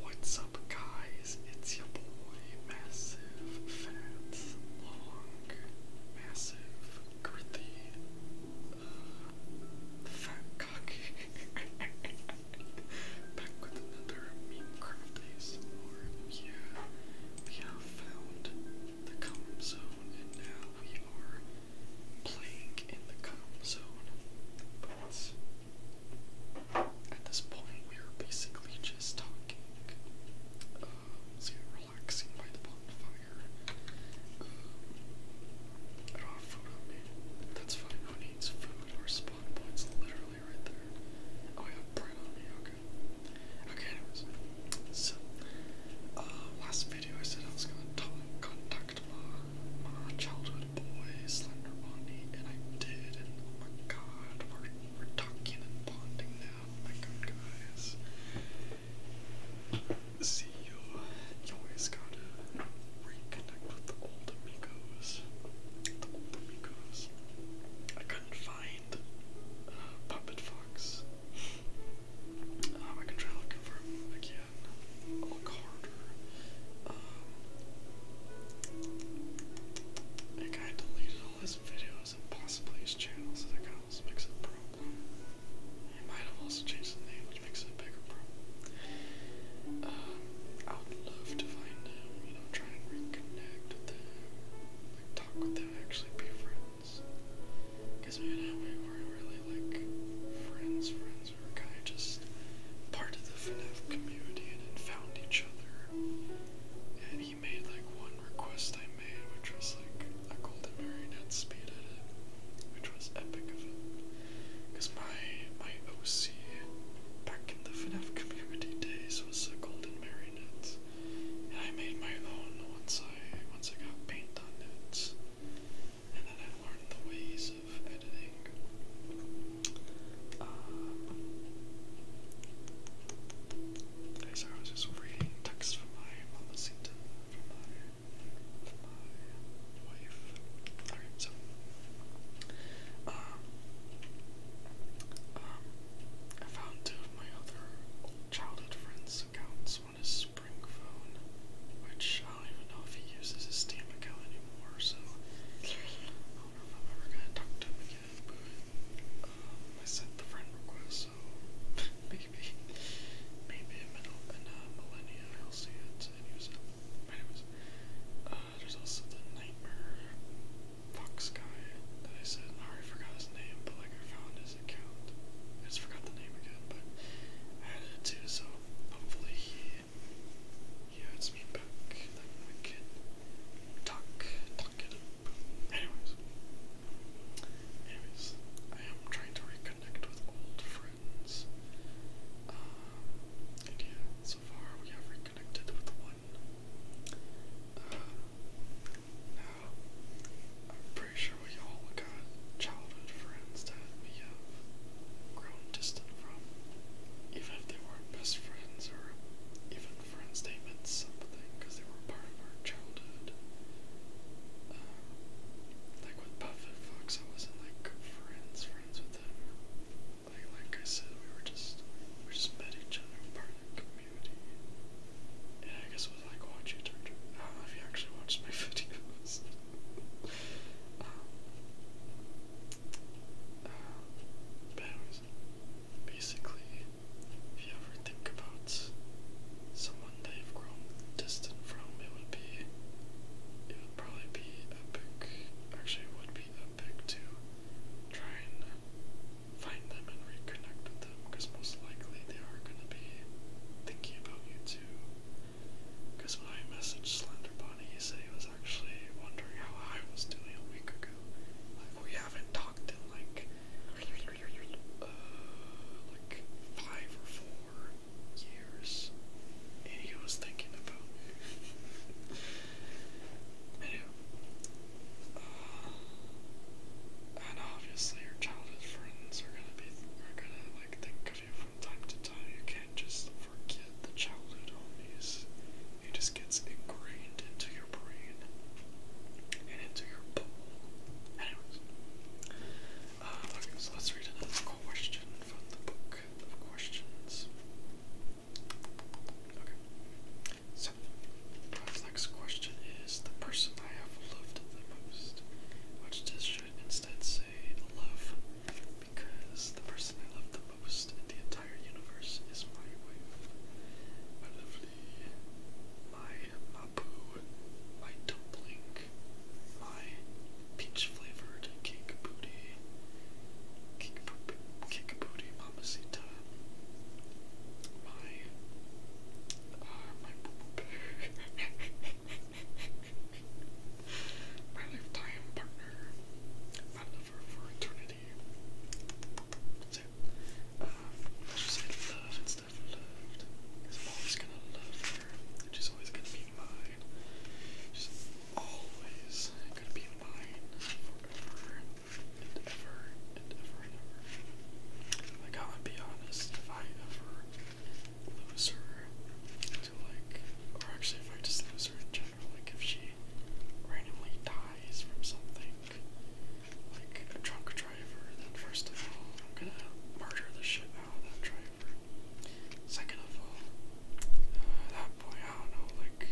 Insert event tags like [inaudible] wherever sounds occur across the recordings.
What's up, guys? It's your boy, Massive Fat Long Massive Girthy uh, Fat Cocky [laughs] back with another Memecraft ASMR. Yeah, we have found the calm zone, and now we are playing in the calm zone. But at this point, we are basically just talking, um, relaxing by the bonfire. Um, I don't have food on me. That's fine, who needs food? Our spawn point's literally right there. Oh, I have bread on me, okay. Okay, So, uh, last video I said I was gonna talk, contact my, childhood boy, Slender Bonnie, and I did, and oh my god, we're, we're talking and bonding now, oh my good guys. See, you, always gotta reconnect with the old amigos, the old amigos. I couldn't find uh, Puppet Fox. Um, I can try looking for look oh, harder. Um, that guy deleted all his videos and possibly his channel, so that kind of makes it a problem. He might have also changed the name, which makes it a bigger problem. Um, I would love to find him, you know, try and reconnect with him, like talk with him, actually be friends. Because man, we weren't really like friends, friends friends. We were kind of just part of the FNAF community and had found each other. And he made like one request I made, which was like a golden marionette speed edit, which was epic of him. Because my my OC back in the FNAF community days was a golden marionette. And I made my own once I once I got paint on it and then i learned the ways of editing. okay, sorry, I was just reading text from my mamacita, my, wife. Alright, so, um, um, I found two of my other childhood friends' accounts. One is Spring which I don't even know if he uses his Steam account anymore, so I don't know if I'm ever gonna talk to him again, um, I sent the friend request, so [laughs] maybe, maybe in, middle, in uh, millennia I'll see it and uh, there's also the Nightmare Fox guy that I said, I already forgot his name, but like I found his account. just forgot the name again, but added it too, so hopefully he yeah, it's me back. Then we can talk, talk it up. Anyways, anyways, I am trying to reconnect with old friends. Um, and yeah, so far we have reconnected with one. Uh, now, I'm pretty sure we all got childhood friends that we have grown distant from, even if they weren't best friends or even friends, they meant something because they were part of our childhood. Um, like with Buffett Fox, I wasn't like friends, friends with him. Like, like I said, we were just we just met each other, part of the community. And I guess was like oh, watch it. Or, I don't know if you actually watched my [laughs] videos. um, uh, bounds. Basically, if you ever think about someone that you've grown distant from, it would be, it would probably be epic. Actually, it would be epic to try and find them and reconnect with them, because most likely they are gonna be thinking about you too. Because when I messaged Slenderbody, he said he was actually wondering how I was doing a week ago. Like, we haven't talked in like, uh, like five or four years. And he was thinking about me. anyway. Uh, and obviously your childhood friends are gonna be are gonna like think of you from time to time. You can't just forget the childhood homies. It just gets ingrained into your brain and into your bubble. Anyways, uh, so let's read another question from the book of questions. Okay, so next question is the person I have loved the most, which this should instead say say love because the person I love the most in the entire universe is my wife. My lovely, my mapu, my dumpling, my peach flavored cake booty, cake, cake booty mamacita, my, uh, my boo [laughs] My lifetime partner. My lover for eternity. That's it. Um, let just say love and stuff. Loved. Because I'm always gonna love her. she's always gonna be mine. She's always gonna be mine forever and ever and ever and ever. Like, I would be honest, if I ever lose her, to like, or actually if I just lose her in like if she randomly dies from something, like a drunk driver, then first of all, I'm gonna murder the shit out of that driver. Second of all, uh, that point, I don't know, like,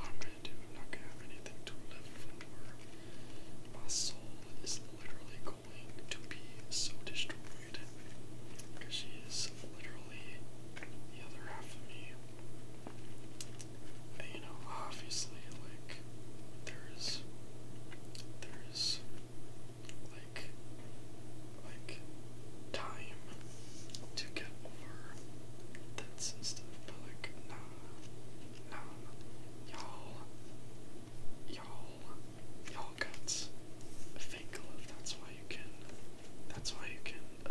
I'm gonna do, not gonna have anything to live for. My soul is literally going to be so destroyed because she is literally literally the other half of me. you know, obviously, like, there's, there's, like, like, time to get over that's stuff, but, like, nah, nah, y'all, y'all, y'all got fake love, that's why you can that's why you can uh,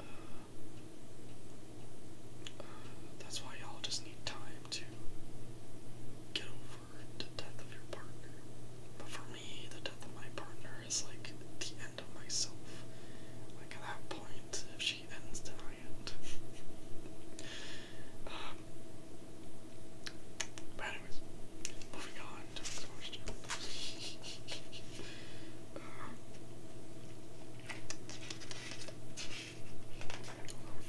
uh, uh, that's why y'all just need time to get over the death of your partner. But for me, the death of my partner is like the end of myself. Like at that point, if she ends, then [laughs] But anyways, moving on to the question. uh,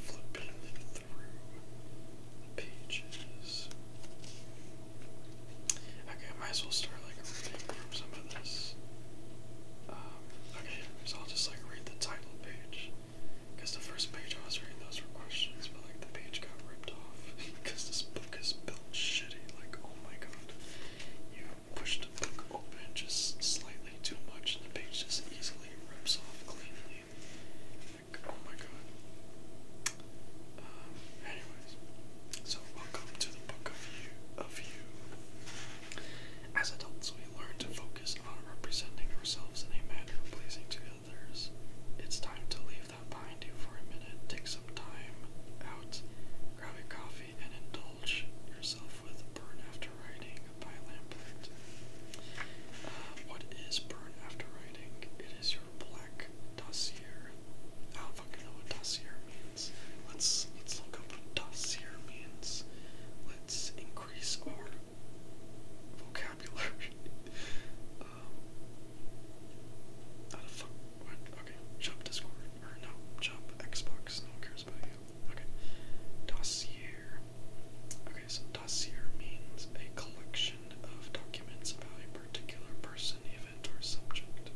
flipping through the pages. Okay, I might as well start like reading from some of this. Um, okay, so I'll just like read the title page. Because the first page I was reading those were questions, like the page got ripped off [laughs] because this book is built shitty. Like, oh my god, you push the book open just slightly too much, and the page just easily rips off cleanly. Like, oh my god. Um, anyways, so welcome to the book of you. Of you. As adults, we learn to focus on representing ourselves in a manner pleasing to it's time to leave that behind you for a minute. Take some time out, grab a coffee, and indulge yourself with Burn After Writing by Lamplight. Uh, what is Burn After Writing? It is your black dossier. I don't fucking know what dossier means. Let's let's look up what dossier means. Let's increase our vocabulary. [laughs] Uh, um, how the Okay, shop Discord. Or no, shop Xbox. No one cares about you. Okay. Dossier. Okay, so dossier means a collection of documents about a particular person, event, or subject.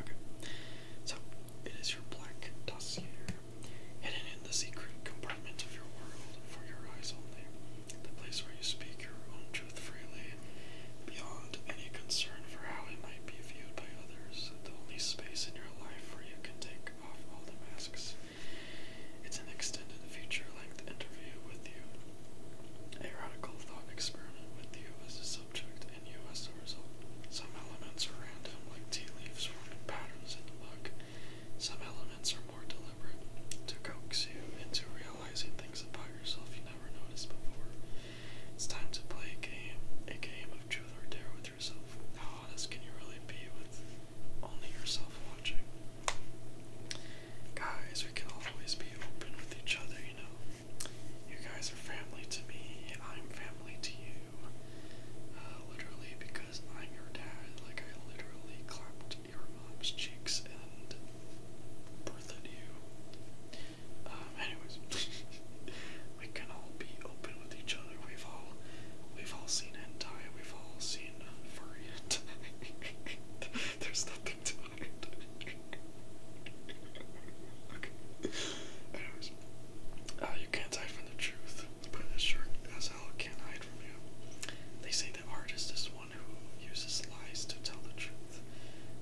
Okay. So, it is your black dossier, hidden in the secret compartment of your world for your eyes only the place where you speak your own truth freely, beyond any concern for how it might be viewed by others, the only space in your life where you can take off all the masks. It's an extended future length interview with you, a radical thought experiment with you as the subject, and you as the result. Some elements are random, like tea leaves forming patterns in the mug. Some elements are more deliberate to coax you into reality realizing things about yourself you never noticed before. It's time to play a game, a game of truth or dare with yourself. How honest can you really be with only yourself watching? Guys, we can always be open with each other, you know. You guys are family to me, I'm family to you. Uh, literally, because I'm your dad, like I literally clapped your mom's cheeks and birth at you. Um, anyways, [laughs] we can all be open with each other. We've all we've all seen hentai. We've all seen uh, furry hentai. [laughs] There's nothing to hide. [laughs] okay. Anyways, uh, you can't hide from the truth, but it sure as hell can't hide from you. They say the artist is one who uses lies to tell the truth.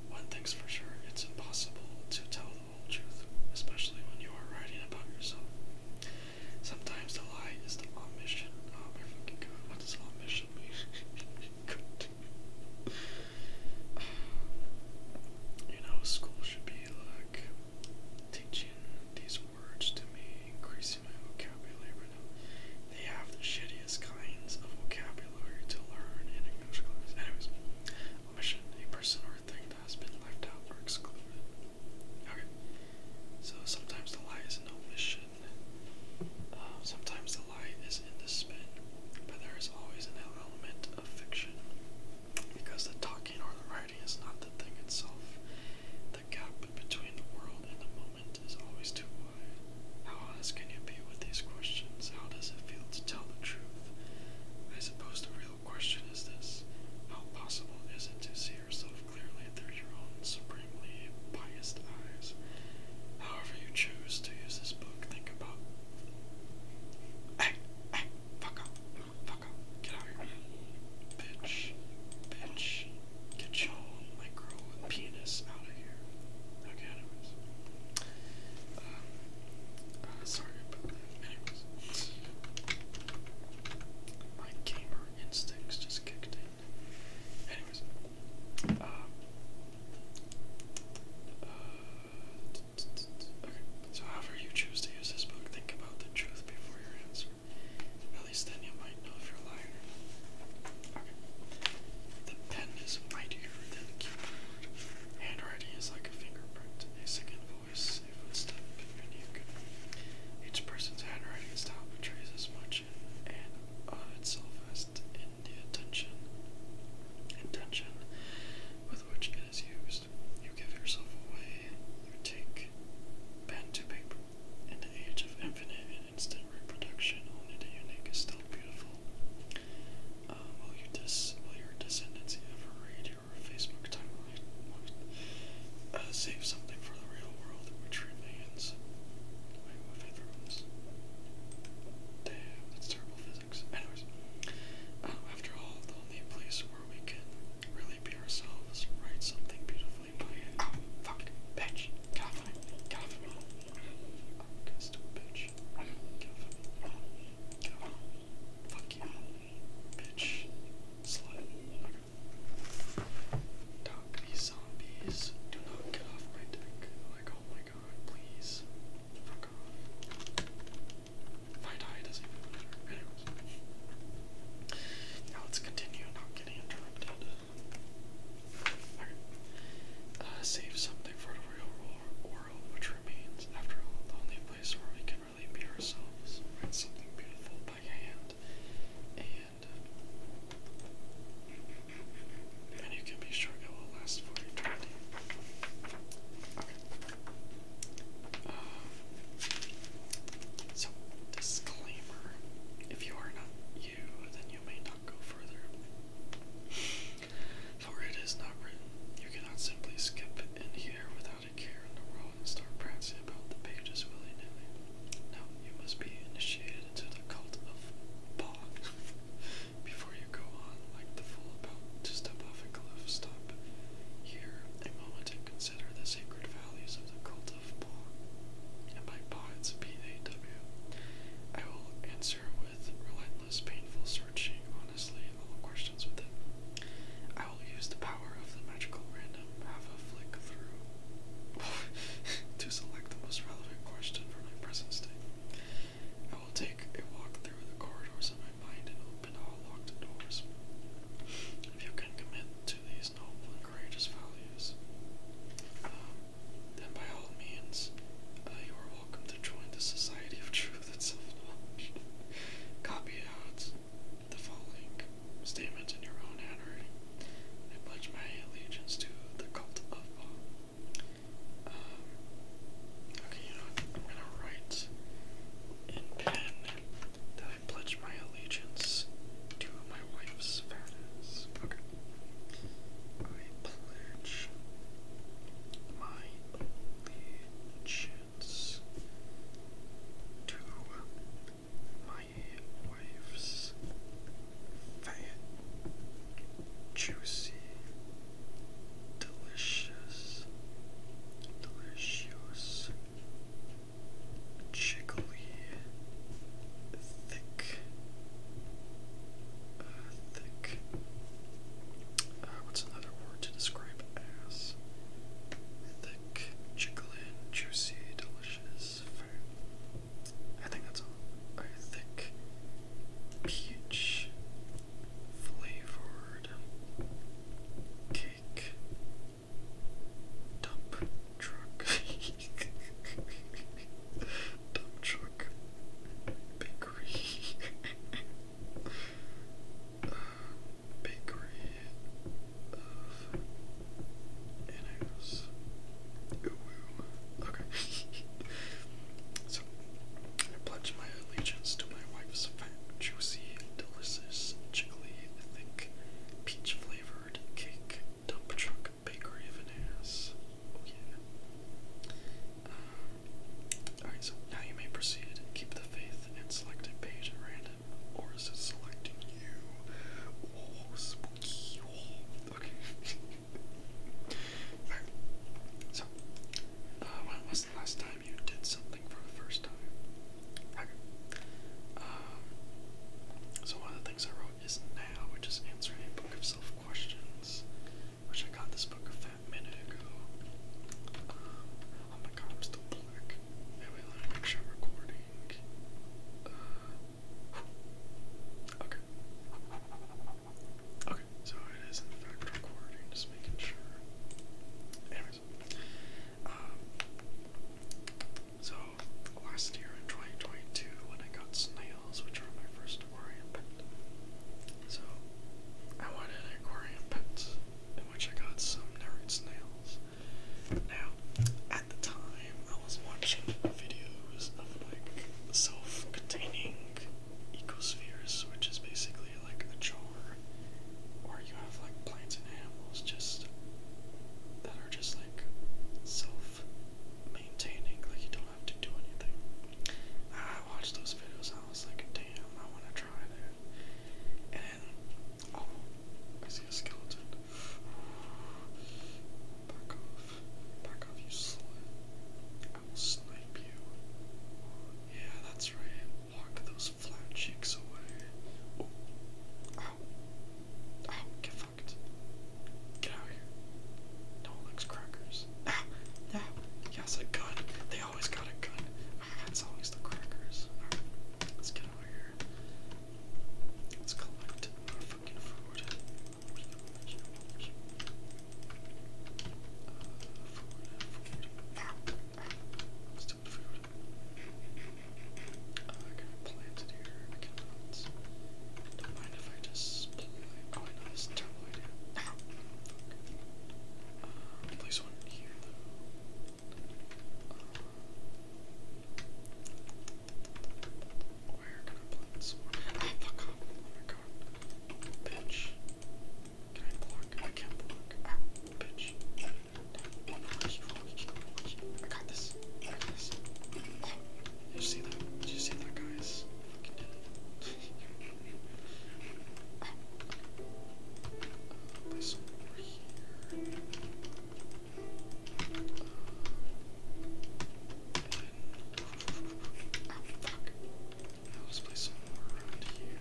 One thing's for sure, it's impossible to tell the whole truth, especially when you are writing about yourself. Sometimes the lie is the omission. Oh my fucking god, what does omission mean? [laughs] You know, school should be like teaching these words to me, they have the shittiest kinds of vocabulary to learn in English class. Anyways, omission, a person or a thing that has been left out or excluded. Okay, so sometimes the lie is an omission, um, sometimes the lie is in the spin, but there is always an element of fiction because the talking or the writing is not the thing itself. The gap between the world and the moment is always too wide. How honest can you be with these questions? How does it feel to tell the truth? I suppose the real question is this How possible is it to see yourself clearly through your own supremely biased eyes? However, you choose to use this book, think about. Hey! Hey! Fuck up! Fuck up! Get out of here, Bitch! Bitch! Get your own micro penis out of here. Okay, anyways. Uh, uh, sorry Anyways. My gamer instincts just kicked in. Anyways. Uh, so however you choose to use this book, think about the truth before your answer. At least then you might know if you're lying Okay. The pen is mightier than the keyboard. Handwriting is like a fingerprint, a second voice, a footstep, and you can. Each person's handwriting style betrays as much in itself as in the attention, intention with which it is used. You give yourself away, you take pen to paper, in the age of infinite and instant reproduction, only the unique is still beautiful. Uh, will, your descendants ever read your Facebook timeline? Uh, save something for the real world, which remains. Damn, that's terrible physics. Anyways, uh, after all, the only place where we can really be ourselves, write something beautiful my Bitch. Get off me. Get off me. Oh, fucking bitch. Get off me. Get off me. Fuck Bitch. Slut. Okay. zombies do not get off my dick. Like, oh my god, please. Fuck off. If I die, it doesn't matter. Now let's continue not getting interrupted. Right. Uh, save something for the real world which remains, after all, the only place where we can really be ourselves. Write something beautiful by hand, and, uh, and you can be sure it will last for eternity. Okay. Uh, so, disclaimer. If you are not you, then you may go further. For it is not written, you cannot simply skip in here without a care in the world and start prancing about the pages willy nilly. Now you must be initiated into the cult of Ba before you go on like the fool about to step off a cliff. Stop here a moment and consider the sacred values of the cult of Paul, and by Paul it's will answer with relentless, painful searching, honestly, all questions with it. I will use the power of the magical random, have a flick through, [laughs] to select the most relevant question for my present state. I will take a walk through the corridors of my mind and open all locked doors. If you can commit to these noble and courageous values, um, then by all means, uh, you are welcome to join the Society of Truth and Self Knowledge. Copy out the following statement in your own handwriting. I pledge my allegiance to the cult of um, okay, I'm gonna write in pen that I pledge my allegiance to my wife's fairness. Okay. I pledge my allegiance to my wife's fat, juicy, delicious, delicious thick, thick. Uh, what's another word to describe Thick, jiggling, juicy, delicious, I think that's all. A thick, peach, flavored, cake, dump truck. [laughs] Dump truck. Bakery. [laughs] bakery of Annos. ooh. Okay. so, I pledge my allegiance to my wife's fat, juicy, delicious, jiggly, thick, peach flavored cake dump truck bakery of an ass. Oh yeah. Um, Alright, so now you may proceed. Keep the faith and select a page at random. Or is it selecting you? Oh, spooky. Oh, okay. [laughs] Alright. So, uh, when was the last time you did something for the first time? Okay. Um, so one of the things I wrote is now, which is answering a book of self questions, which I got this book of that minute ago. Um, oh my god, I'm still black. Anyway, let me sure recording. Uh, okay. Okay, so it is in fact recording, just making sure. Anyways, um, so last year in 2022, when I got snails, which are my first aquarium pet, so I wanted an aquarium pet in which I got some narrowed snails. Now, at the time, I was watching videos of like self-containing ecospheres, which is basically like a jar, where you have like plants and animals just that are just like self maintaining, like you don't have to do anything. I watched those videos I was like, damn, I wanna try that. And oh, I see a skeleton. Back off. Back off, you slut. I will snipe you. Yeah, that's right. Walk those flat cheeks away. Oh. Ow. get sucked. Get out of here. No Lex Crackers. Ah, no. Yes, a gun. They always got a gun. Ah, it's always the crackers. Alright, let's get out of here. Let's collect our fucking food. Uh, food, food. Ah, ah. Let's do the food. Uh, I can plant it here. I cannot. Don't mind if I just plant. Oh, this is a place one here uh, where can I plant some more? Ah, fuck off. Oh my god. Bitch. Can I block? I can't block. Ah, bitch. Damn. I got this. I You see that? you see that, guys? I over here. oh fuck. let's place some more around here.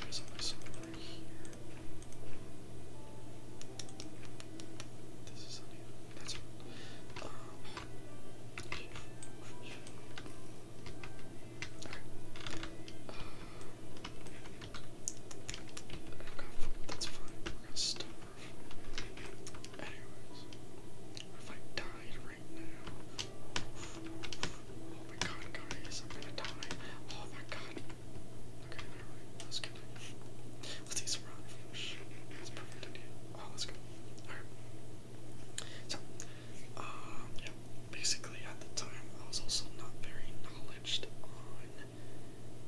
There is also over here. This is That's it. Um, okay. that's fine. We're gonna starve. Anyways, if I died right now, oh my god, guys, I'm gonna die. Oh my god, Okay, never Let's go. Let's eat some rotten fish. That's a Oh, let's go. Alright. So, um, yeah. Basically, at the time, I was also not very knowledged on,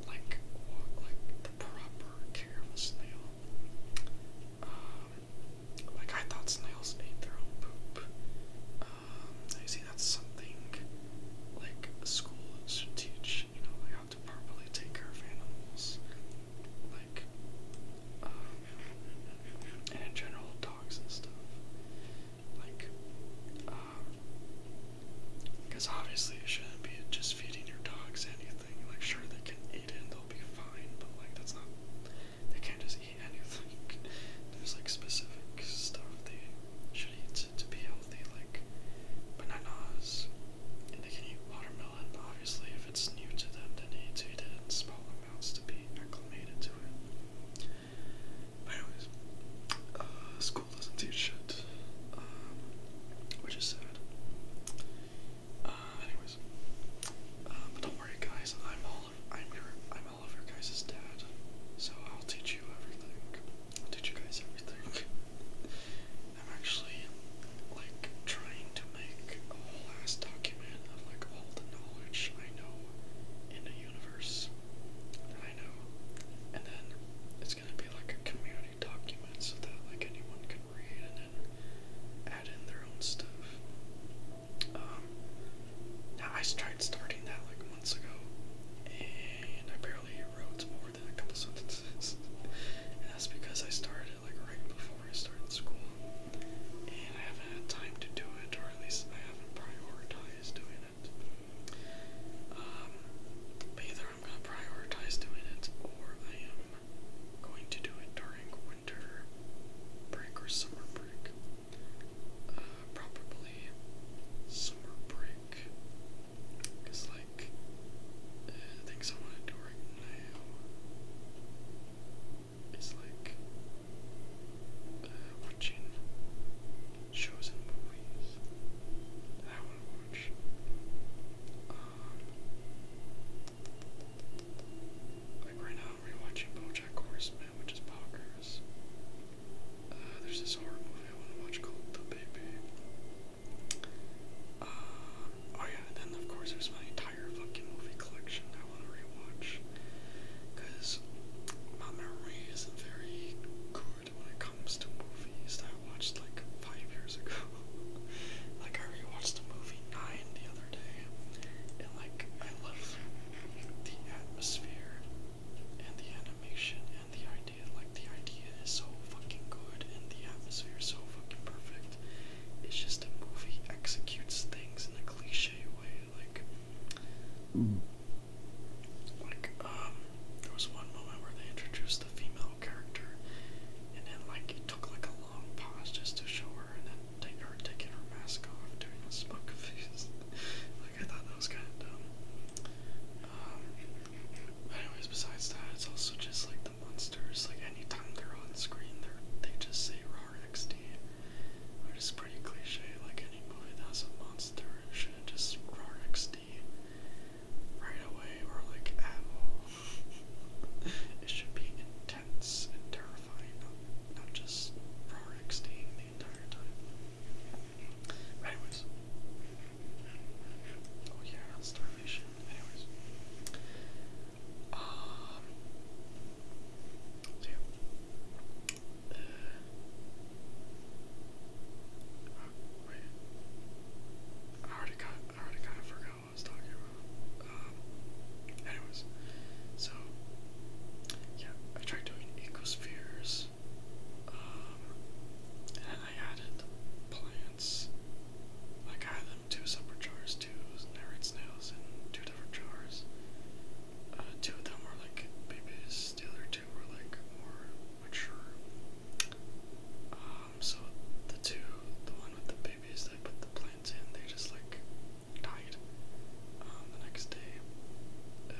like, what, like, the proper care of a snail. Um, like, I thought snails ate their own poop. I see that's something like schools should teach, you know, like how to properly take care of animals, like, um, and in general, dogs and stuff. Like, because uh, um, obviously it shouldn't be just feeding your dogs anything. Like, sure, they can eat it and they'll be fine, but like, that's not. They can't just eat anything. [laughs] There's like specific stuff they should eat to, to be healthy, like bananas, and they can eat watermelon, but obviously if it's new to them, then they need to eat it in small amounts to be acclimated to it. But anyways, uh, school doesn't teach shit, um, which is sad. Uh, anyways, uh, but don't worry guys, I'm all I'm your I'm all of your guys' dad, so I'll teach you everything. teach you guys everything. [laughs] I'm actually like trying to make a whole ass document of like all the knowledge I know in the universe that I know. And then it's gonna be like a community document so that like anyone can read and then add in their own stuff. Um, I tried starting that like months ago, and I barely wrote more than a couple sentences. [laughs] that's because I started it like right before I started school, and I haven't had time to do it, or at least I haven't prioritized doing it. Um, either I'm gonna prioritize doing it, or I am going to do it during winter break or summer break probably summer break. Cause like things I want to do right now is like uh, watching shows and movies I want to watch. Um, like right now, rewatching Blackjack Horseman, which is pockers. Uh, there's this horror movie I want to watch called The Baby. Uh, oh yeah, and then of course there's my entire fucking movie collection I want to rewatch. Because my memory isn't very good when it comes to movies that I watched like five years ago. [laughs] like I rewatched the movie Nine the other day, and like I love the atmosphere and the animation and the idea, like the idea is so fucking good and the atmosphere is so fucking perfect. It's just a movie executes things in a cliche way, like like um there was one moment where they introduced the female character and then like it took like a long pause just to show her and then take her taking her mask off doing a smug [laughs] face. like I thought um, anyways, besides that, it's also just like the monsters. Like anytime they're on screen, they they just say "raw XD," which is pretty cliche. Like any movie that has a monster should have just "raw XD" right away, or like at [laughs] it should be intense and terrifying, not, not just "raw XD." anyways. Oh yeah, starvation. Anyways. Um yeah. Uh, wait. I already got I already kinda of forgot what I was talking about. Um anyways. So yeah, I tried doing ecospheres plants. Um, and I added plants. Like I had them two separate jars, two narrate snails in two different jars. Uh, two of them were like babies, the other two were like more mature. Um, so the two, the one with the babies that I put the plants in, they just like um, the next day, uh,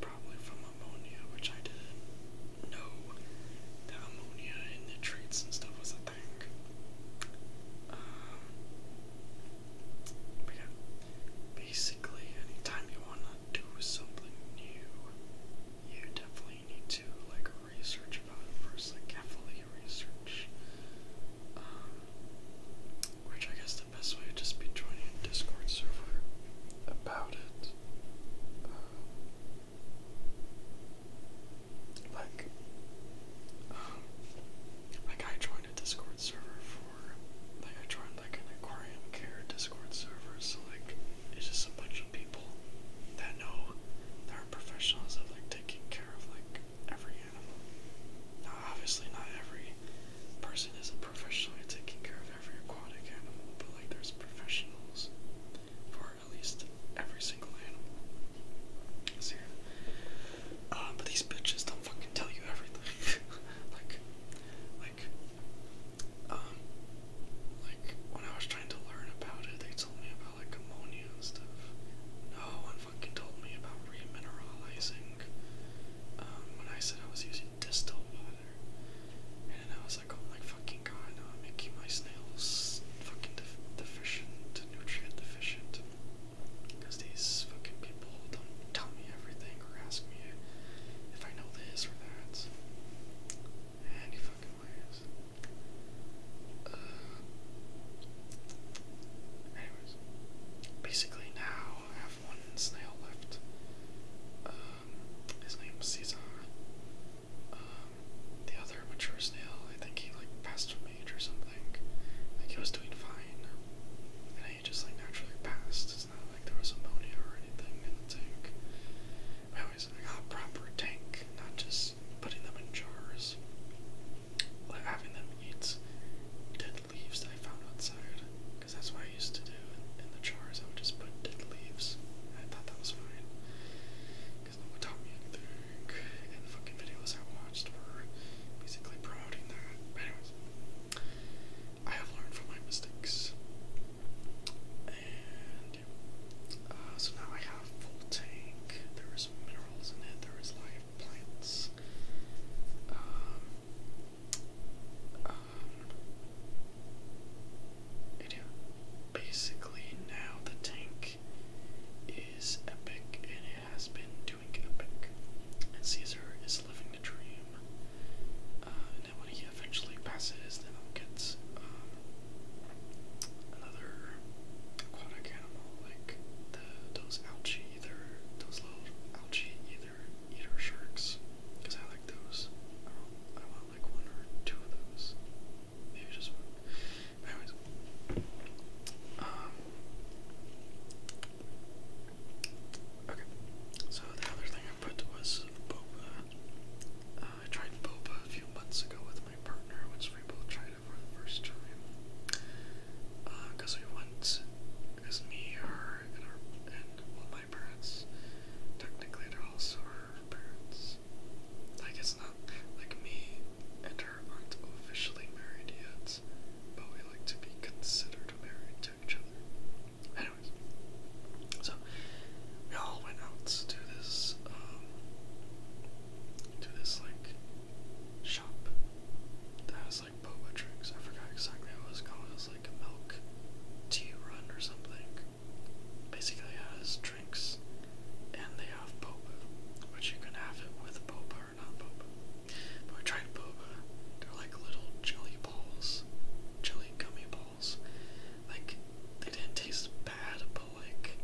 probably from ammonia, which I didn't know that ammonia and nitrates and stuff was a thing. Um, basically, anytime you want to do something new, you definitely need to like research about it first, like carefully research. Um, which I guess best way just be joining a Discord server about it. Um, like, um, like I joined a Discord server for, like I joined like an aquarium care Discord server, so like it's just a bunch of people that know there are professionals of like taking care of like every animal. Now obviously not every person is a professionally at taking care of every aquatic animal, but like there's professionals for at least every single animal. So, uh, but these bitches don't fucking tell you everything. [laughs] like, like, um, like when I was trying to learn about it, they told me about like ammonia and stuff. No one fucking told me about remineralizing. Um, when I said I was using distilled water. And I was like, oh my fucking god, I'm making my snails fucking deficient, nutrient deficient. Because these fucking people don't tell me everything or ask me if I know this or that. Any fucking ways. Uh, anyways, basically now have one snail left. Um, his name's Caesar. Um, the other mature snail, I think he like passed a mage or something. Like he was doing fine, and he just like naturally passed. It's not like there was ammonia or anything in the tank. I always like a proper tank, not just putting them in jars. Like having them eat dead leaves that I found outside. Because that's what I used to do in, the jars. I would just put dead leaves. I thought that was fine. Because no one taught me anything. And the fucking videos I watched were basically promoting that. But anyways, I have learned from my mistakes. And uh, so now I have full tank. There is minerals in it. There is live plants. Um, um, and basically now the tank is epic and it has been doing epic. And Caesar is living the dream. Uh, and then when he eventually passes, then I'll get um, another aquatic animal like those algae, either those little algae eater sharks, because I like those. I, want like one or two of those. Maybe just one. anyways. Um, okay. So the other thing I put was boba. Uh, I tried boba a few months ago with my partner, which we both tried it for the first time. Because uh, we went because me, her, and our and all my parents. Technically, they're also our parents. Like it's not like me and her aren't officially married yet, but we like to be considered married to each other. Anyways, so we all went out to this um to this like shop that was. like like boba drinks. I forgot exactly what it was called. It was like a milk tea run or something. Basically, it has drinks and they have boba, which you can have it with boba or not boba. But we tried boba. They're like little jelly balls, jelly gummy balls. Like they didn't taste bad, but like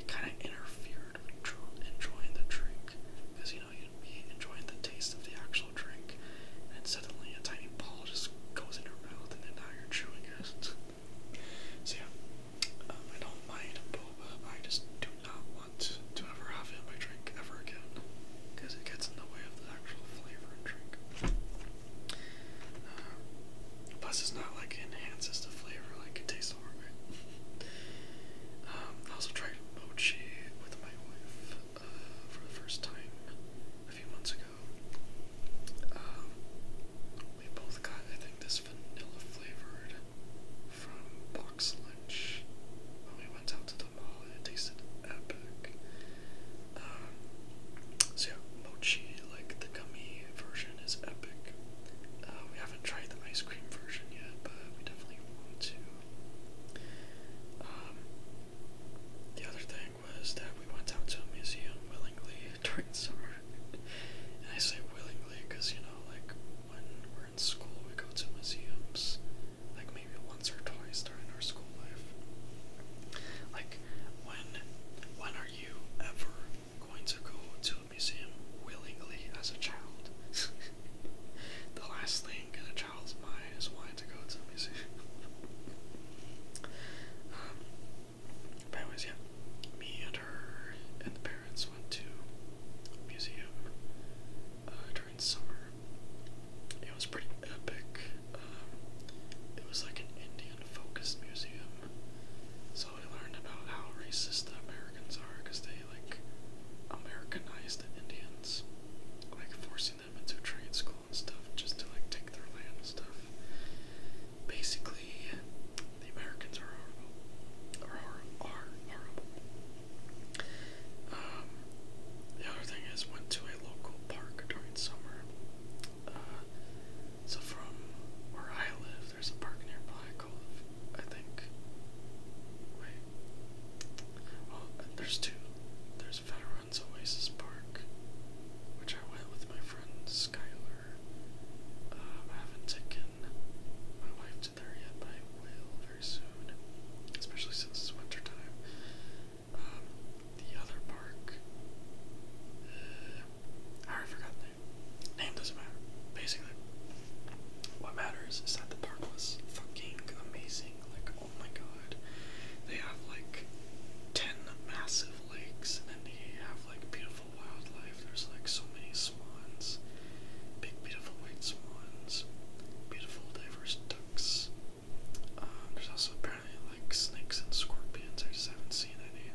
it kind of interfered with enjoying the drink because you know know, you'd be enjoying the taste of the actual drink, and suddenly a tiny ball just goes in your mouth, and then now you're chewing it. [laughs] so yeah, um, I don't mind boba. I just do not want to ever have it in my drink ever again, because it gets in the way of the actual flavor and drink. Uh, plus, it's not like it enhances the flavor; like it tastes alright. [laughs] um, I also tried mochi with my wife uh, for the first time a few months ago. Um, we both got, I think, this vanilla flavored from Box Lunch when we went out to the mall, and it tasted epic. Um, so yeah, mochi, like the gummy version, is epic. Uh, we haven't tried the ice cream version yet, but we definitely want to. Um, the other thing was that we went out to a museum willingly [laughs] during the summer. and I say willingly because, you know, like when we're in school, we go to museums, like maybe once or twice during our school life. Like, when, when are you ever going to go to a museum willingly as a child? [laughs] the last thing Charles May is wanting go to museum. anyways, yeah, me and her and the parents went to museum uh, during summer. It was pretty epic. Um, it was like an Indian-focused museum, so we learned about how racist the Americans are because they like Americanized the Indians, like forcing forcing them into trade school and stuff just to like take their land and stuff. Basically, the Americans are horrible. Are, are horrible. Um, the other thing is, went to a local park during summer. Uh, so from where I live, there's a park nearby called, I think. Wait. Well, oh, there's two. There's Veterans Oasis Park, which I went with my friend Skylar. Um, I haven't taken my wife to there yet, but I will very soon, especially since it's wintertime. Um, the other park, uh, I forgot the name. Name doesn't matter, basically. What matters is that the park was fucking amazing. Like, Oh my god. They have like 10 massive lakes and then they have like beautiful wildlife. There's like so many swans, big, beautiful white swans, beautiful, diverse ducks. Um, there's also apparently like snakes and scorpions. I just haven't seen any.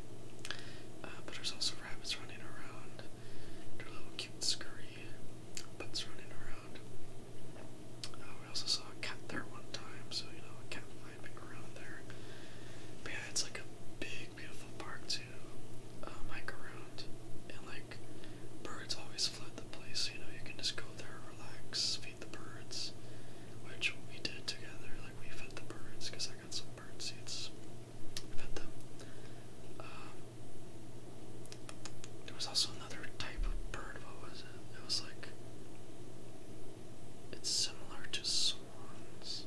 Uh, but there's also rabbits running around. Their little cute scurry butts running around around. Uh, we also saw a cat there one time, so you know, a cat might be around there. But yeah, it's like a big, beautiful park to um, hike around, and like birds always flood the place. So, you know, you can just go there, relax, feed the birds, which we did together. Like we fed the birds because I got some bird seeds, fed them. Um, there was also another type of bird. What was it? It was like. It's similar to swans.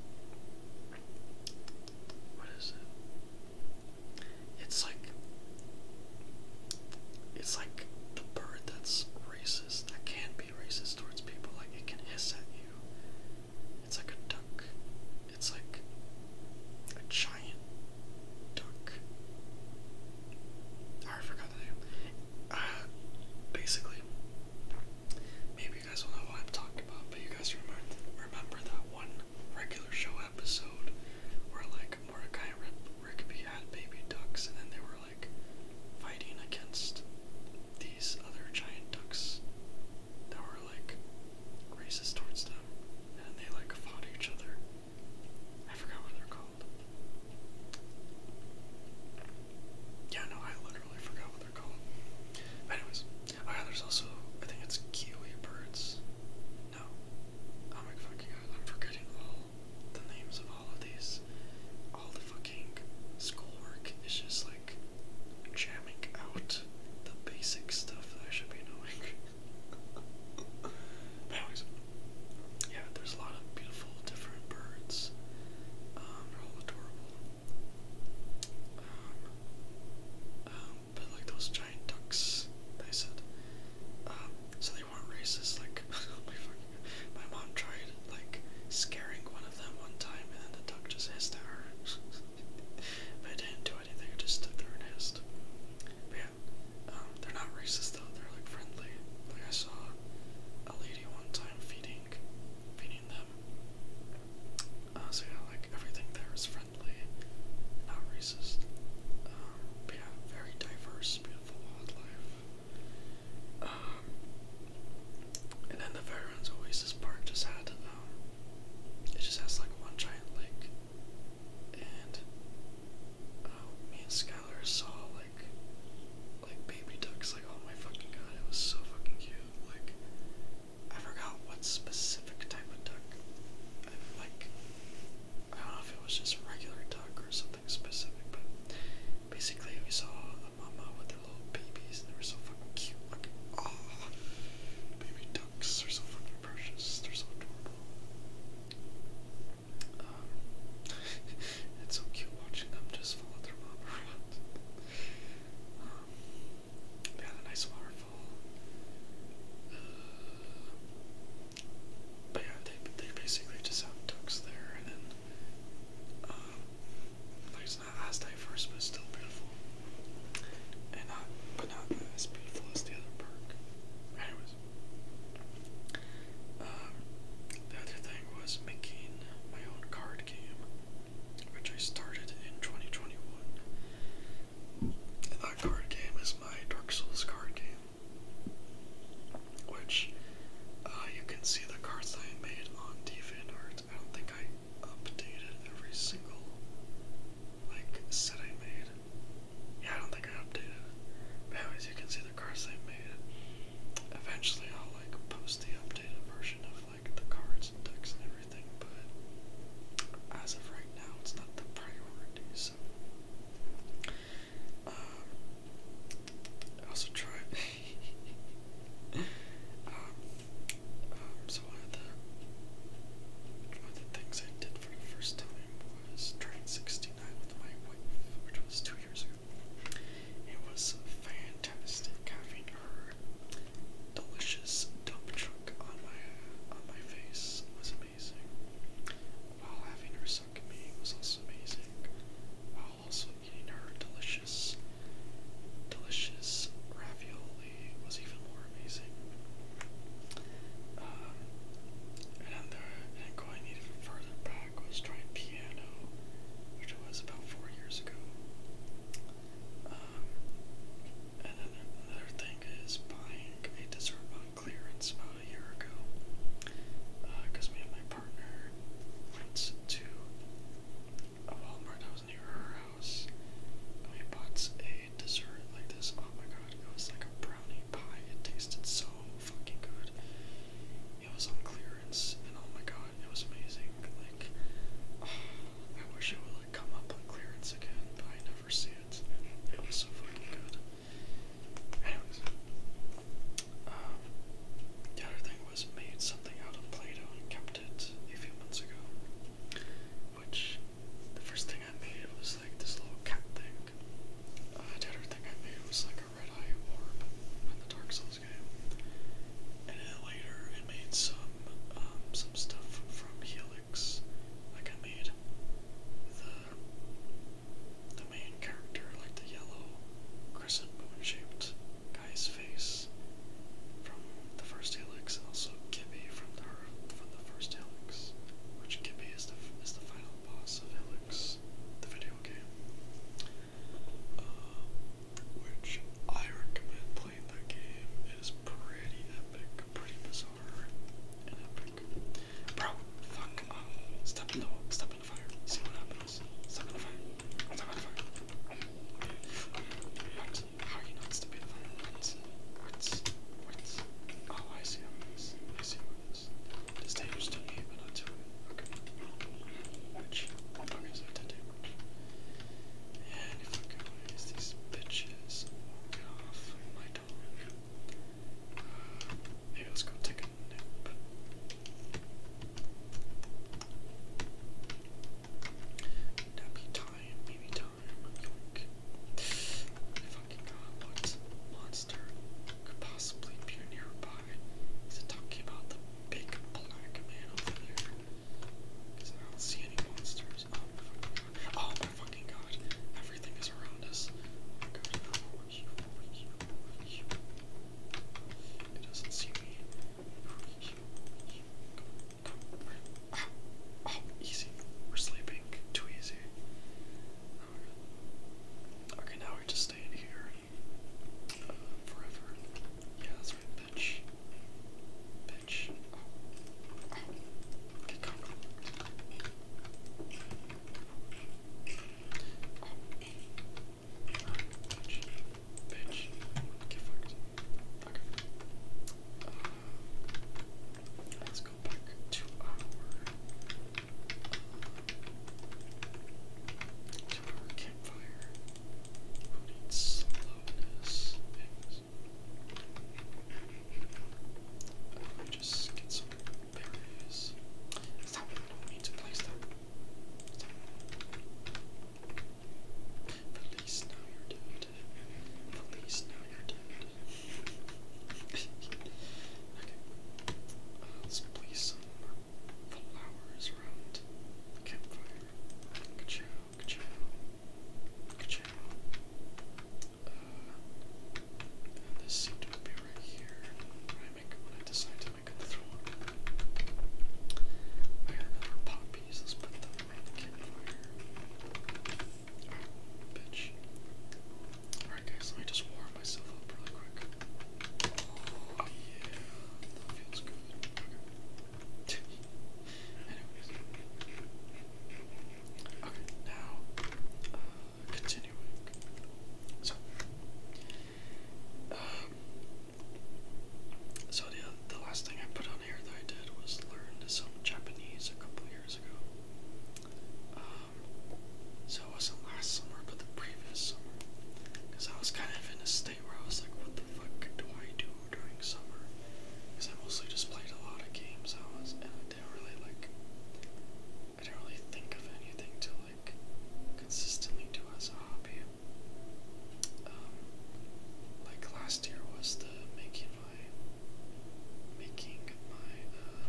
What is it? It's like. It's like the bird that's racist, that can be racist towards people. Like it can hiss at you. It's like a duck. It's like a child duck. I forgot the name. Uh, basically, maybe you guys will know what I'm talking about, but you guys remember that one regular show episode where like Mordecai and Rigby had baby ducks, and then they were like fighting against these other giant ducks that were like racist towards them, and they like fought each other. I forgot what they're called. Yeah, no, I literally forgot what they're called. anyways, oh there's also I think it's kiwi birds. No, oh my fucking I'm forgetting all the names of all of these. All the fucking schoolwork is just like jamming out the basic stuff that I should be knowing. [laughs] yeah, there's a lot of beautiful different birds. Um, they're all adorable. Um, um, but like those giant ducks they said, so they weren't racist. Like [laughs] oh my mom tried like scaring one of them one time, and then the duck just hissed at her. [laughs] but it didn't do anything. It just stuck there and hissed. Yeah. Um, they're not racist though, they're like friendly. Like I saw a lady one time feeding feeding them. Uh, so yeah, like everything there is friendly, not racist. Um, but yeah, very diverse, beautiful wildlife. Um, and then the Veterans Oasis Park just had, um, it just has like one giant lake and oh, me and Skylar saw like like baby ducks. Like oh my fucking god, it was so fucking cute. Like I forgot what specific type of duck. like I don't know if it was just regular duck or something specific, but basically we saw a mama with their little babies and they were so fucking cute. Like oh, baby ducks are so fucking ever They're so adorable. Um, it's so cute watching them just follow their mom around. they had a nice waterfall. Uh, but yeah, they, they basically just have ducks there, and then, um, like it's not as diverse, but still beautiful. And not, but not as beautiful as the other park was. Um, the other thing was making my own card game, which I started in 2021. And that card game is my Dark Souls card game, which uh, you can see the cards I made on DeviantArt. I don't think I updated every single like set I made. Yeah, I don't think I updated But anyways, you can see the cards I made. Eventually, I'll like post the updated version of like the cards decks and everything. But as of right now, it's not the priority. So, I um, also tried. [laughs] Um, um, so one of the one of the things I did for the first time born is 69 with my wife, which was two years ago. It was fantastic having her delicious dump truck on my on my face was amazing. While having her suck me was also amazing. While also eating her delicious delicious ravioli was even more were amazing. Um, another, and going even further back, was trying piano, which was about four years ago. Um, and then another thing is buying a dessert on clearance about a year ago, because uh, me and my partner went to a Walmart that was near her house, and we bought a dessert like this. Oh my god, it was like a brownie pie. It tasted so fucking good. It was on clearance, and oh my god, it was amazing. Like, [sighs] I wish it would like come up on clearance again, but I never see it. It was so fucking good. Anyways, um, the other thing was made something out of Play-Doh and kept it a few months ago. Which the first thing I made was like this little cat thing. Uh, thing I made was like a red eye orb in the Dark Souls game. And then later I made some um, some stuff from Helix. Like I made the the main character, like the yellow crescent moon shaped guy's face from the first Helix and also Gibby from the power from the first Helix, which Gibby is the, is the final boss of Helix, the video game. Uh, which I recommend playing that game. It is pretty epic, pretty bizarre, and epic. Bro, fuck up. Uh, step in the step in the fire. See what happens. Step in the fire. Step in the fire. How are you not stepping in the fire? What's what's oh I see how it is. I see what it is. This they used to me it. Okay. Which I guess I did it. these bitches walk off my dog. Uh, let's go take a nap. Nappy time, baby time. Yoink. Any fucking goblins monster could possibly be nearby. Is it talking about the big black man over there? Because I don't see any monsters. Oh my fucking god. Everything is around us. Oh doesn't see me. Oh, easy. We're sleeping. Too easy. Okay, now we are just staying here uh, forever. Yeah, that's right. Bitch. Bitch. Get covered. Bitch. Bitch. Get fucked. Uh, Let's go back to our campfire. Who needs slowness? just get some berries. Is that one? No, we need to place that one? Police, now you're dead. Police, now you're dead okay. let's place some flowers around campfire. Ka-chow, ka-chow, ka-chow. Uh, this seemed to be right here. I make, when I decide to make another one, I got another poppies. Let's put them around the campfire. Bitch. Alright, guys, let me just warm myself up really quick. Oh, yeah. feels good. Okay. now, uh, So, um, so the, the last thing I put on here that I did was learn some Japanese a couple years ago. Um, so it wasn't last summer, but the previous summer, because I was kind of in a state where I was like, what the fuck do I do during summer? Because I mostly just played a lot of games. I was, and I didn't really like, I didn't really think of anything to like consistently do as a hobby. Um, like last year was the making of making my uh,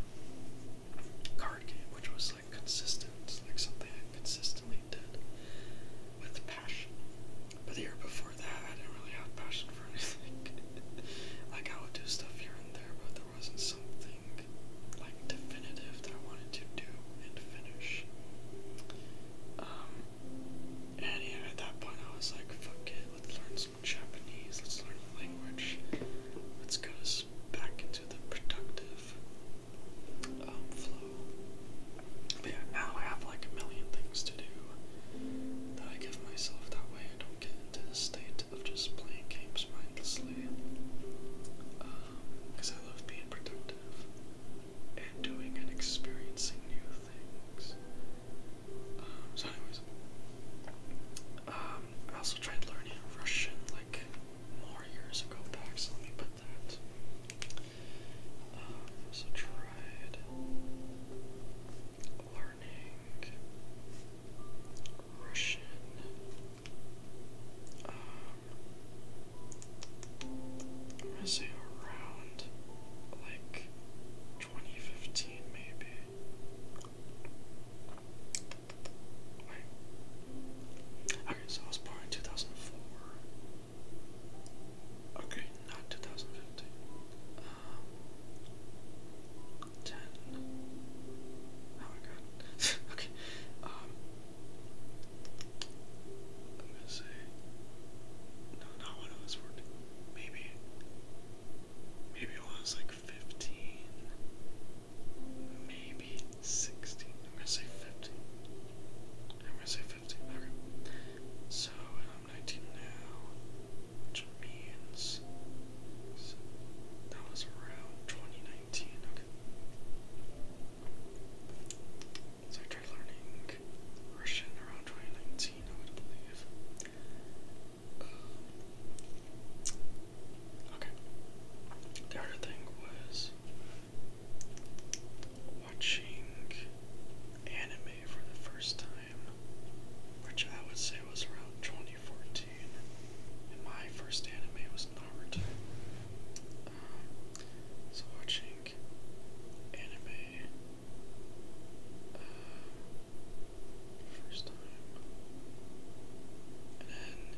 card game, which was like consistent, like something I consistently did with passion. But the year before that, I didn't really have passion for [laughs] anything. like I would do stuff here and there, but there wasn't something like definitive that I wanted to do and finish. Um, and at that point, I was like, "Fuck it, let's learn." Japanese. Let's learn the language. Let's go back into the productive um, flow. yeah, now I have like a million things to do that I give myself. That way I don't get into the state of just playing games mindlessly. Because um, I love being productive and doing and experiencing new things. Um, so, anyways, um, I also tried learning Russian like more years ago back, so let me put that. Um, so tried learning Russian. I'm um, gonna say around like 2015 maybe. Wait. Okay, I was born in 2004. Okay, not 2015. Um, 10. Oh my god. [laughs] okay. Um, I'm gonna say. No, not when I was working. Maybe. Maybe I was like 15, maybe 16. I'm gonna say 15. I'm gonna say 15. Okay. So I'm 19 now, which means that was around 2019. Okay. So I started learning Russian around 2019, I Okay. The other thing was watching anime for the first time, which I would say was around 2014. And my first anime was Naruto. Um, so watching anime. Uh, first time. And then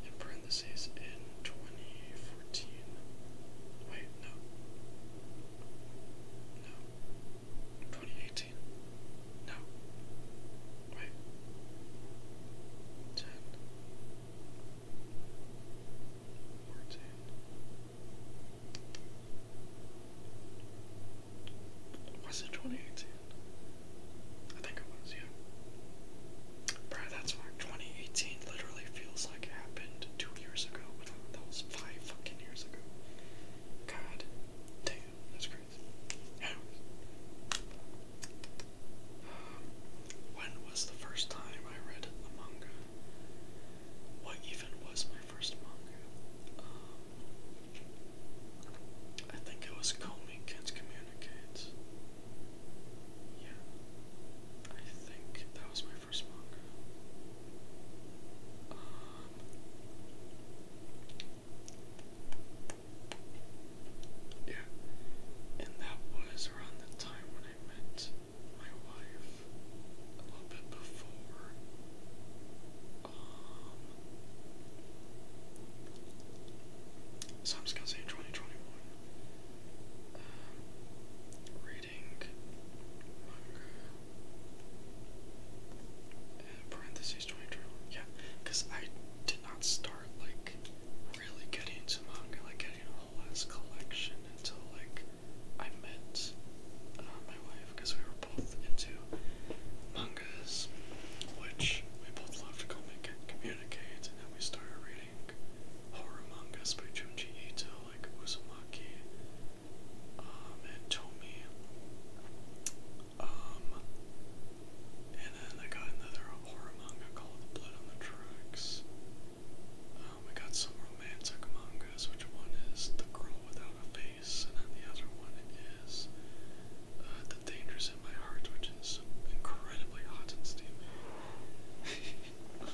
in parentheses in 2014. Wait, no. No. 2018. No. Wait. 10. 14. Was it 2018? I think it was, yeah. Bro, that's why 2018 literally feels like it happened two years ago. That was five fucking years ago. God damn, that's crazy. [sighs] when was the first time I read a manga? What even was my first manga? Um, I think it was Comey Kids Communicates. Yeah. I think that was my first manga. Um, yeah, and that was around the time when I met my wife, a little bit before, um, so I'm just gonna say 2021. reading manga parentheses 2021. Yeah, because I did not start like really getting into manga, like getting a whole ass collection until like I met uh, my wife because we were both into mangas, which we both love to comic and communicate, and then we started reading horror mangas by Junji Ito, like Uzumaki, um, and Tomi. Um, and then I got another horror manga called Blood on the Tracks. Um, got some romantic mangas, which one is The Girl Without a Face and on the other one it is uh, The Dangers in My Heart, which is incredibly hot and steamy. [laughs] Um,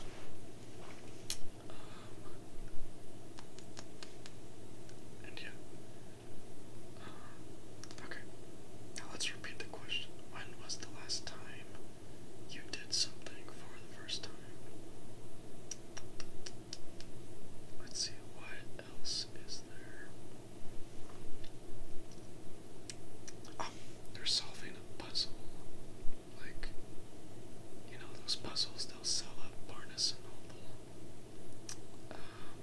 and yeah. Um, okay, now let's repeat the question. When was the last time you did something for the first time? Let's see what else is there. Oh, they're solving a puzzle. Like, you know, those puzzles they sell at Barnes and Noble. Um,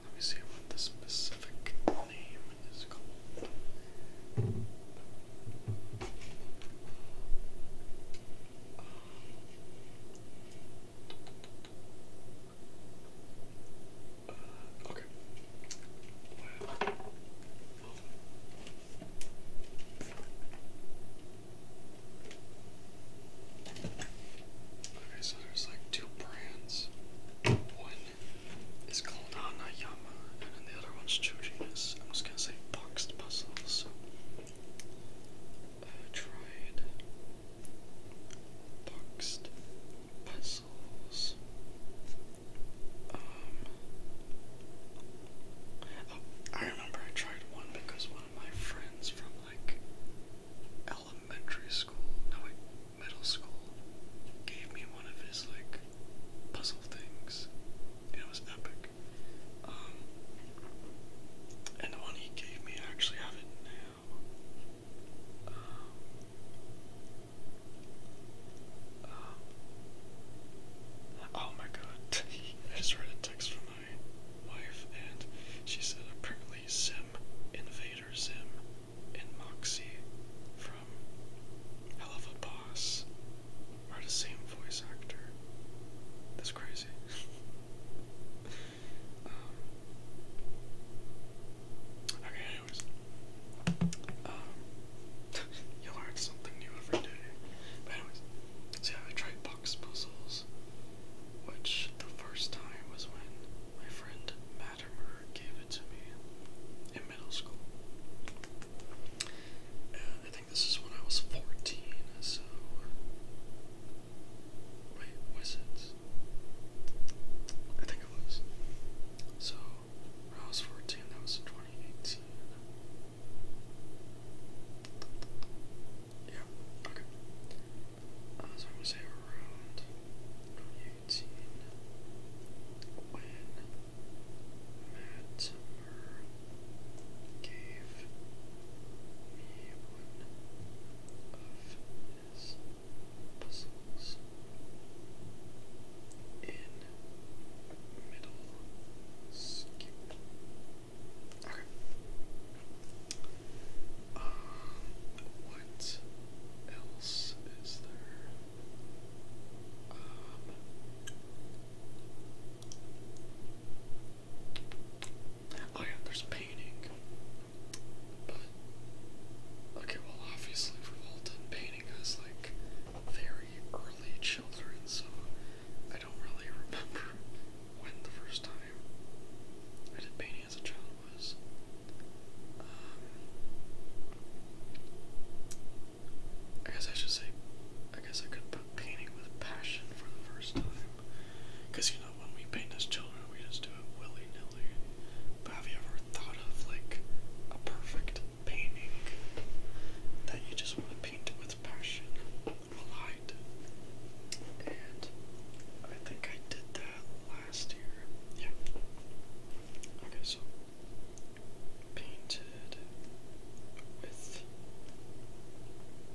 let me see what the specific name is called. Uh, okay. Okay, so there's like two brands. One is called Anayama, and then the other one's Chojinus. I'm just gonna say boxed muscles. So, uh, try boxed puzzles. Um, oh, I remember I tried one because one of my friends from like elementary school, no middle school, gave me one of his like puzzle things. it was epic. Um, and the one he gave me, I actually have it now oh my god, [laughs] I just read a text from my wife and she said apparently Sim, Invader Sim, and Moxie from Hell of a Boss are the same voice actor. That's crazy. [laughs] Um, okay, anyways. Um, [laughs] you learn something new every day. But anyways, so I tried box puzzles, which the first time was when my friend Mattimer gave it to me in middle school. I think this is when I was 14, so. Wait, was it? I think it was. So, when was 14, that was in 2018. Yeah, okay. Uh, I'm going around 2018 when Matt gave me one puzzles in middle Okay. what else is there? Um, Oh yeah, there's painting. But okay, well obviously we've all done painting as like very early children, so I don't really [laughs] remember when the first time I did painting as a child was. Um, I guess I should say, I guess I could put painting with passion for the first time. Because, you know, when we paint as children, we just do it willy nilly. have you ever thought of like a perfect painting that you just want to paint with passion? Light. And I think I did that last year. Yeah. Okay, so painted with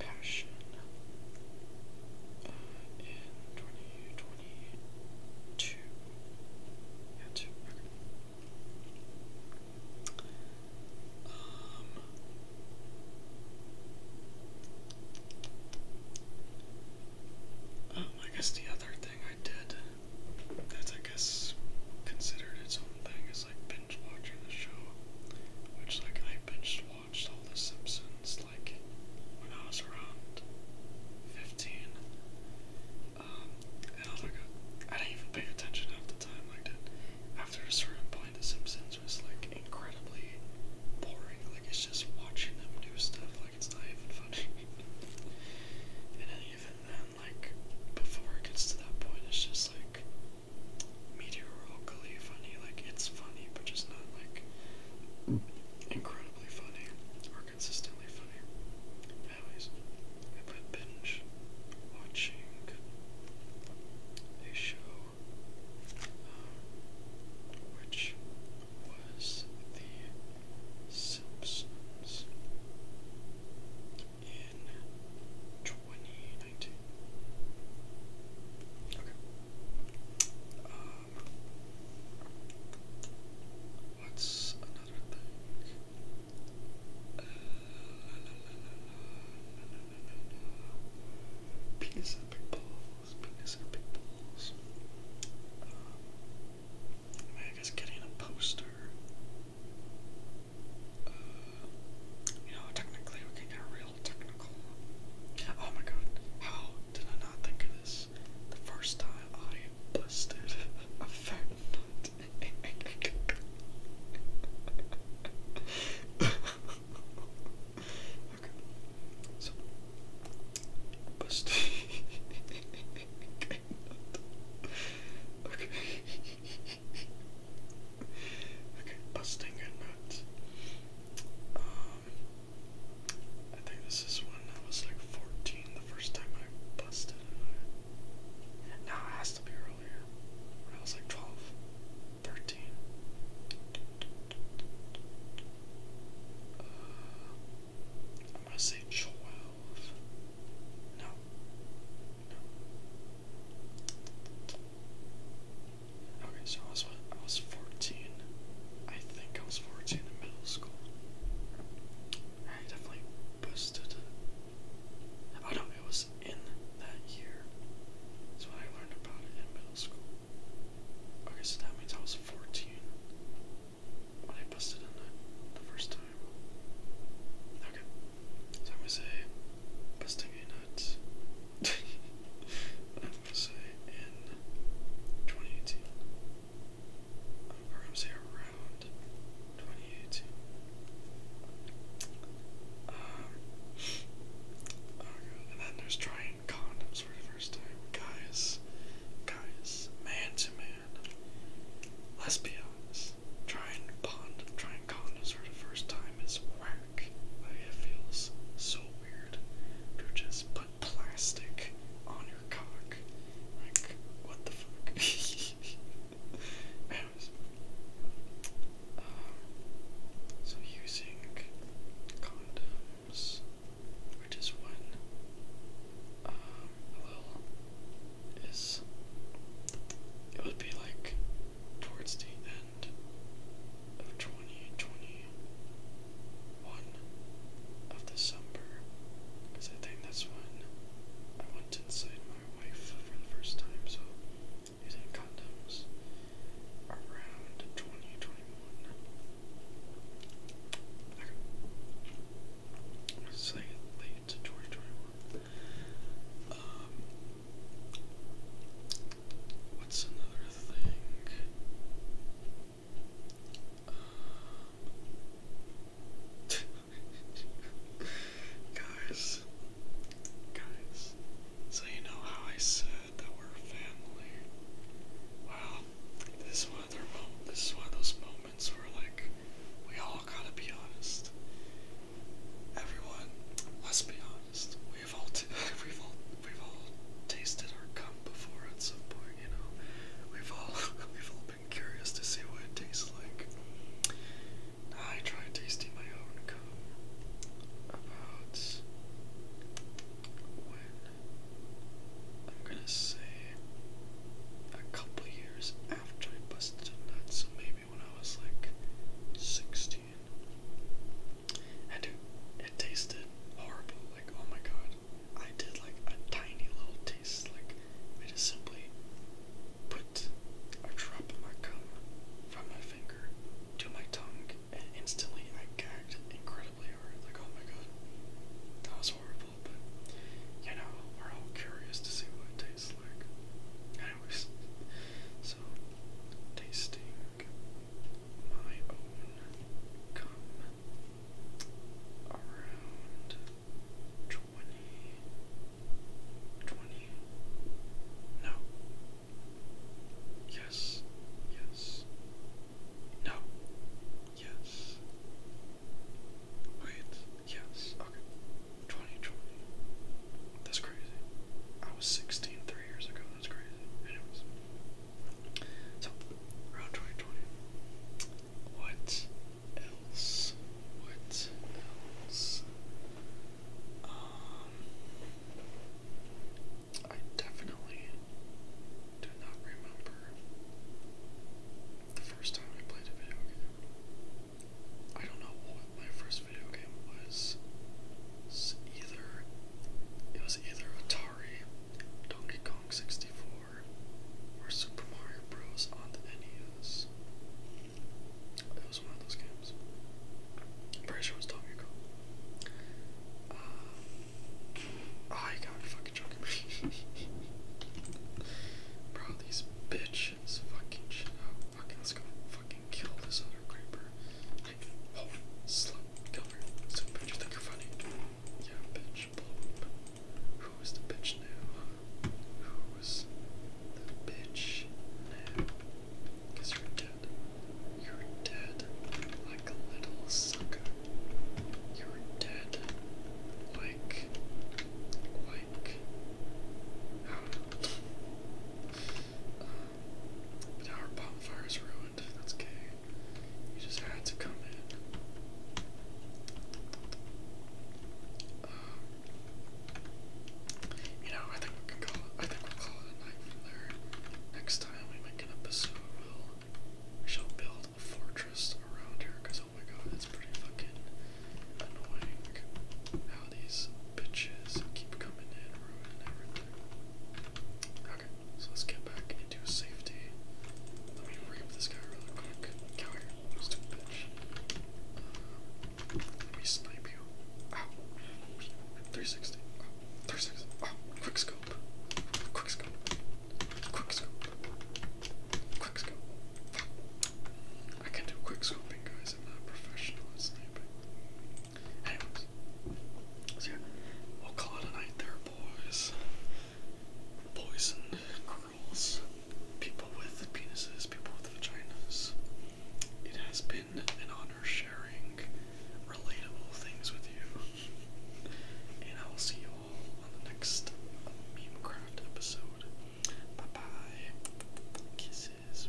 passion in 2022. Yeah, two. Okay. Um, um, I guess the other thing I did that's, I guess, considered its own thing is like binge watching the show, which, like, I binge watched all The Simpsons like when I was around 15. Um, and I was like, I didn't even pay attention half the time. Like, that. after a certain point, The Simpsons was like incredibly boring. Like, it's just watching them do stuff. Like, it's not even funny. [laughs] and then even then, like, before it gets to that point, it's just like meteorically funny. Like it's funny, but just not like incredibly funny or consistently funny. Anyways, I've been binge watching a show um, which was The Simpsons in 2019. Okay. Um, what's another thing? Penis and big balls. Penis and big balls. I, mean, I getting a poster. you know, technically we can get a real Oh my god, how did I not think of this? The first time I busted a [laughs] okay, so busted Okay. Okay, busting a nut. Um, I think this is when I was like 14 the first time I busted it. No, it has to be earlier. When I was like 12, 13. Uh, I'm gonna say 12. No. Okay, so I was I was fourteen. I think I was fourteen in middle school. I definitely busted. boosted. Oh no, it was in that year. That's when I learned about it in middle school. Okay, so that means I was fourteen when I busted in the first time. Okay, so I'm gonna say busting your nut I'm going to say in 2018. or I'm going to say around 2018. Um, And then there's trying condoms for the first time. Guys, guys, man to man. Let's be honest. Trying, bond, trying condoms for the first time is whack it feels so weird to just put plastic on your cock. Like, what the fuck? [laughs] Um, so using condoms, which is when um, little is, it would be like towards the end of 2021 of December, because I think that's when I went inside my wife for the first time, so using condoms around 2021. Okay. Say late 2021. Um, What's another thing? [laughs] guys, guys, so you know how I said that we're family. Well, this is one of those moments where like we all gotta be honest. Everyone, let's be honest we've all [laughs] we've all we've all tasted our cum before at some point, you know. We've all [laughs] we've all been curious to see what it tastes like. I tried tasting my own cum about when I'm gonna say a couple years after I busted a nut, so maybe when I was like 16. And it, tasted horrible. Like, oh my god. I did like a tiny little taste. Like, I just simply put a drop of my cum from my finger to my tongue, and instantly I gagged incredibly hard. Like, oh my god. That was horrible, but you know, we're all curious to see what it tastes like. was so tasting my own cum around 20, no, yes, yes, no, yes, wait, yes, okay, 2020, that's crazy, I was 16 three years ago, that's crazy. Anyways. So, around 2020. What else? What else? Um, I definitely do not remember the first time I played a video game. I don't know what my first video game was either it was either Atari, Donkey Kong 64, or Super Mario Bros. on the NES. It was one of those games. I'm pretty sure it was Donkey Kong. Um, got fucking joking [laughs] Bro, these bitches fucking shit out. Okay, let's go fucking kill this other creeper. Oh, slump cover. bitch, you think you're funny? Yeah, bitch, Who is the bitch now? Who's the bitch now? you you're dead. You're dead like a little sucker. You're dead like like I but our bonfire is ruined. That's okay. You just had to come in. Um, you know, I think we can call it. I think we'll call it a night from there. Next time we make an episode, we'll shall build a fortress around here. Cause oh my god, it's pretty fucking annoying how these bitches keep coming in, ruining everything. Okay, so let's get back into safety. Let me rape this guy really quick. Come here, stupid bitch. Uh, let me snipe you. Ow. 360. 360. quick scope. Quick scope. Quick scope. Quick scope. I can do quick scoping, guys. I'm not professional at sniping so we'll call it a night there, boys. Boys and girls, people with penises, people with vaginas. It has been an honor sharing relatable things with you, and I will see you all on the next Memecraft episode. Bye bye. Kisses.